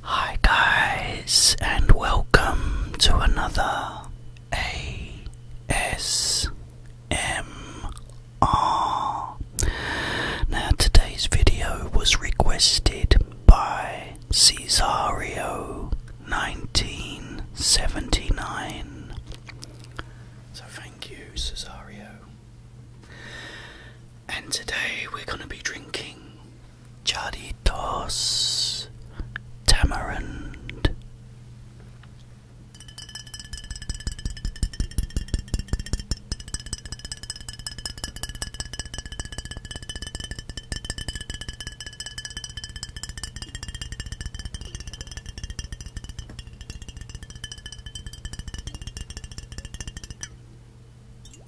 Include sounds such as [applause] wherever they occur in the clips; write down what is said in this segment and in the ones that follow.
Hi guys and welcome to another ASMR. Now today's video was requested by Cesario 1979. So thank you Cesario. And today we're going to be drinking Chaditos Tamarind.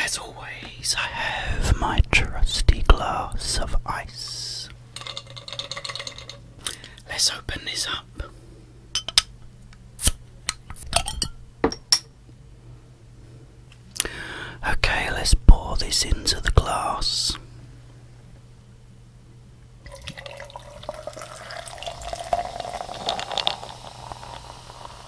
as always, I have my trusty glass of ice. Let's open this up. Okay, let's pour this into the glass.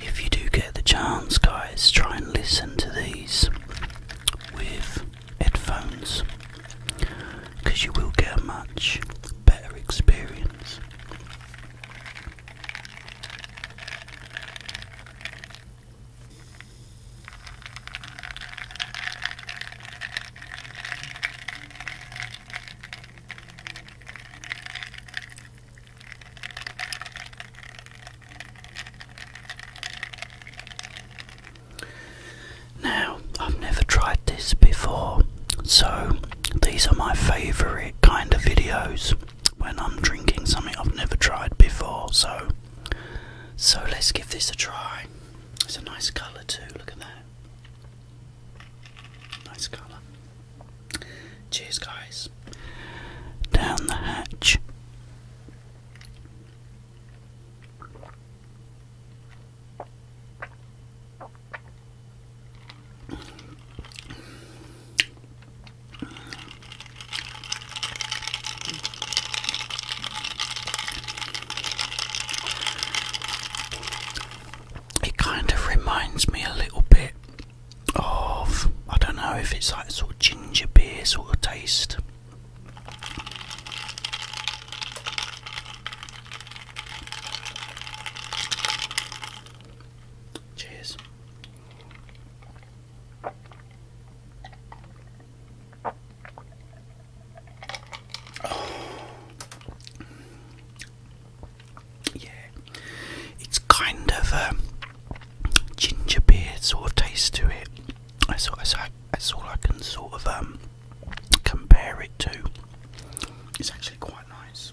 If you do get the chance, guys, try and listen to these with headphones because you will get a much better experience. Now, I've never tried this before, so these are my favourite kind of videos when I'm drinking something I've never tried before. So, so let's give this a try. It's a nice colour too, look at that. Nice colour. Cheers, guys. Down the hatch. It kind of reminds me a little bit of, I don't know if it's like sort of ginger beer sort of taste. Cheers. [sighs] Yeah, it's kind of a um, ginger beer sort of taste to it. That's all, I can sort of um, compare it to. It's actually quite nice.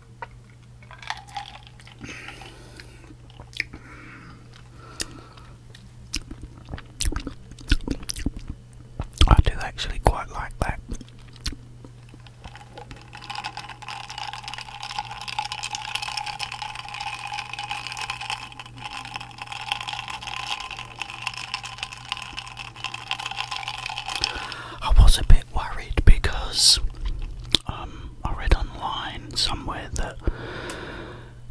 I do actually quite like that. I was a bit worried because um, I read online somewhere that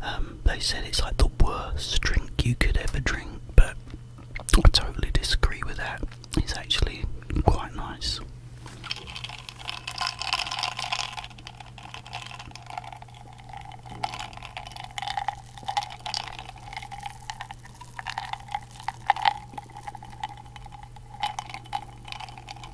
um, they said it's like the worst drink you could ever drink, but I totally disagree with that. It's actually quite nice.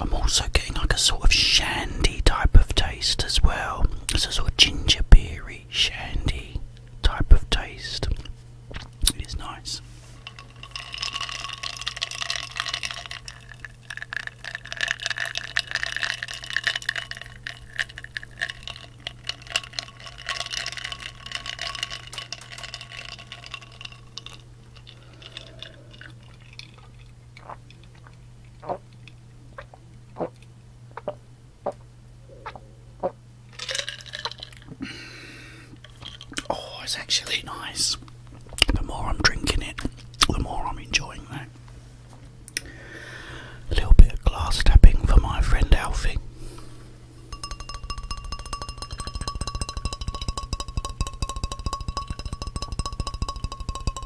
I'm also getting like a sort of shandy type of taste as well. It's a sort of ginger beery shandy type of taste. It is nice. Oh, it's actually nice. The more I'm drinking it, the more I'm enjoying that. A little bit of glass tapping for my friend Alfie.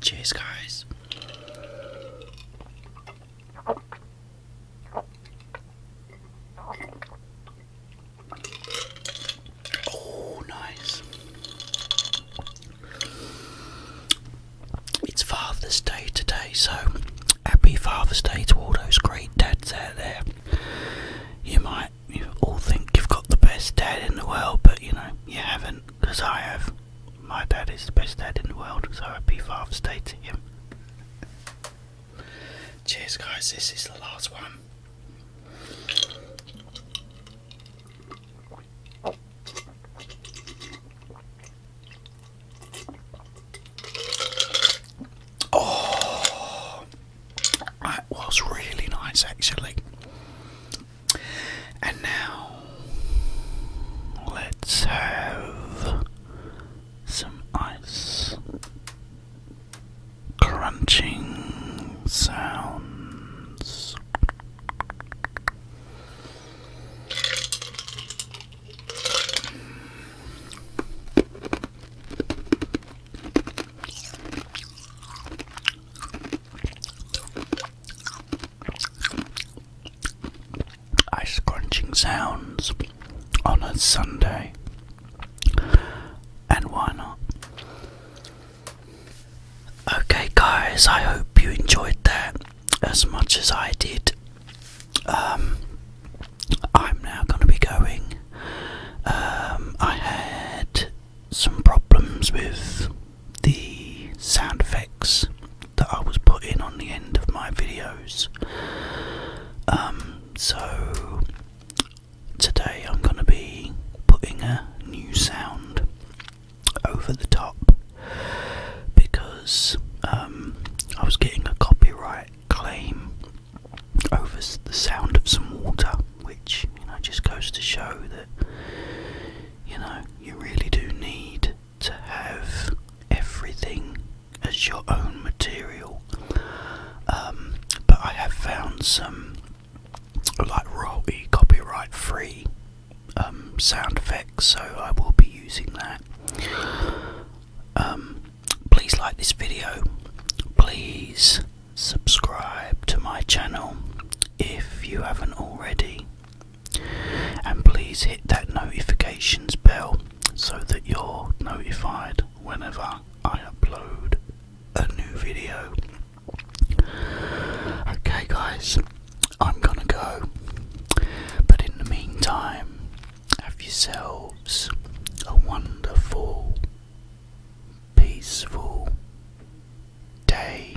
Cheers, guys. Oh, nice. It's Father's Day today, so Happy Father's Day to all those great dads out there. You might all think you've got the best dad in the world, but you know, you haven't, because I have. My dad is the best dad in the world, so happy Father's Day to him. Cheers, guys, this is the last one. Oh, that was really nice actually. And now let's have some ice crunching sounds. Ice crunching sounds on a Sunday, and why not? Okay, guys, I hope you enjoyed that as much as I did. Um, I'm now going to be going. Um, I had some problems with the sound effects that I was putting on the end of my videos. Um, so today I'm going to be putting a new sound over the top because um, I was getting a copyright claim over the sound of some water, which you know just goes to show that you know you really do need to have everything as your own material. Um, but I have found some like royalty copyright free um, sound effects, so I will be using that. Um, please like this video. Please subscribe to my channel if you haven't already. And please hit that notifications bell so that you're notified whenever I upload a new video. Okay, guys. I'm gonna go. But in the meantime, have yourselves a wonderful, peaceful day.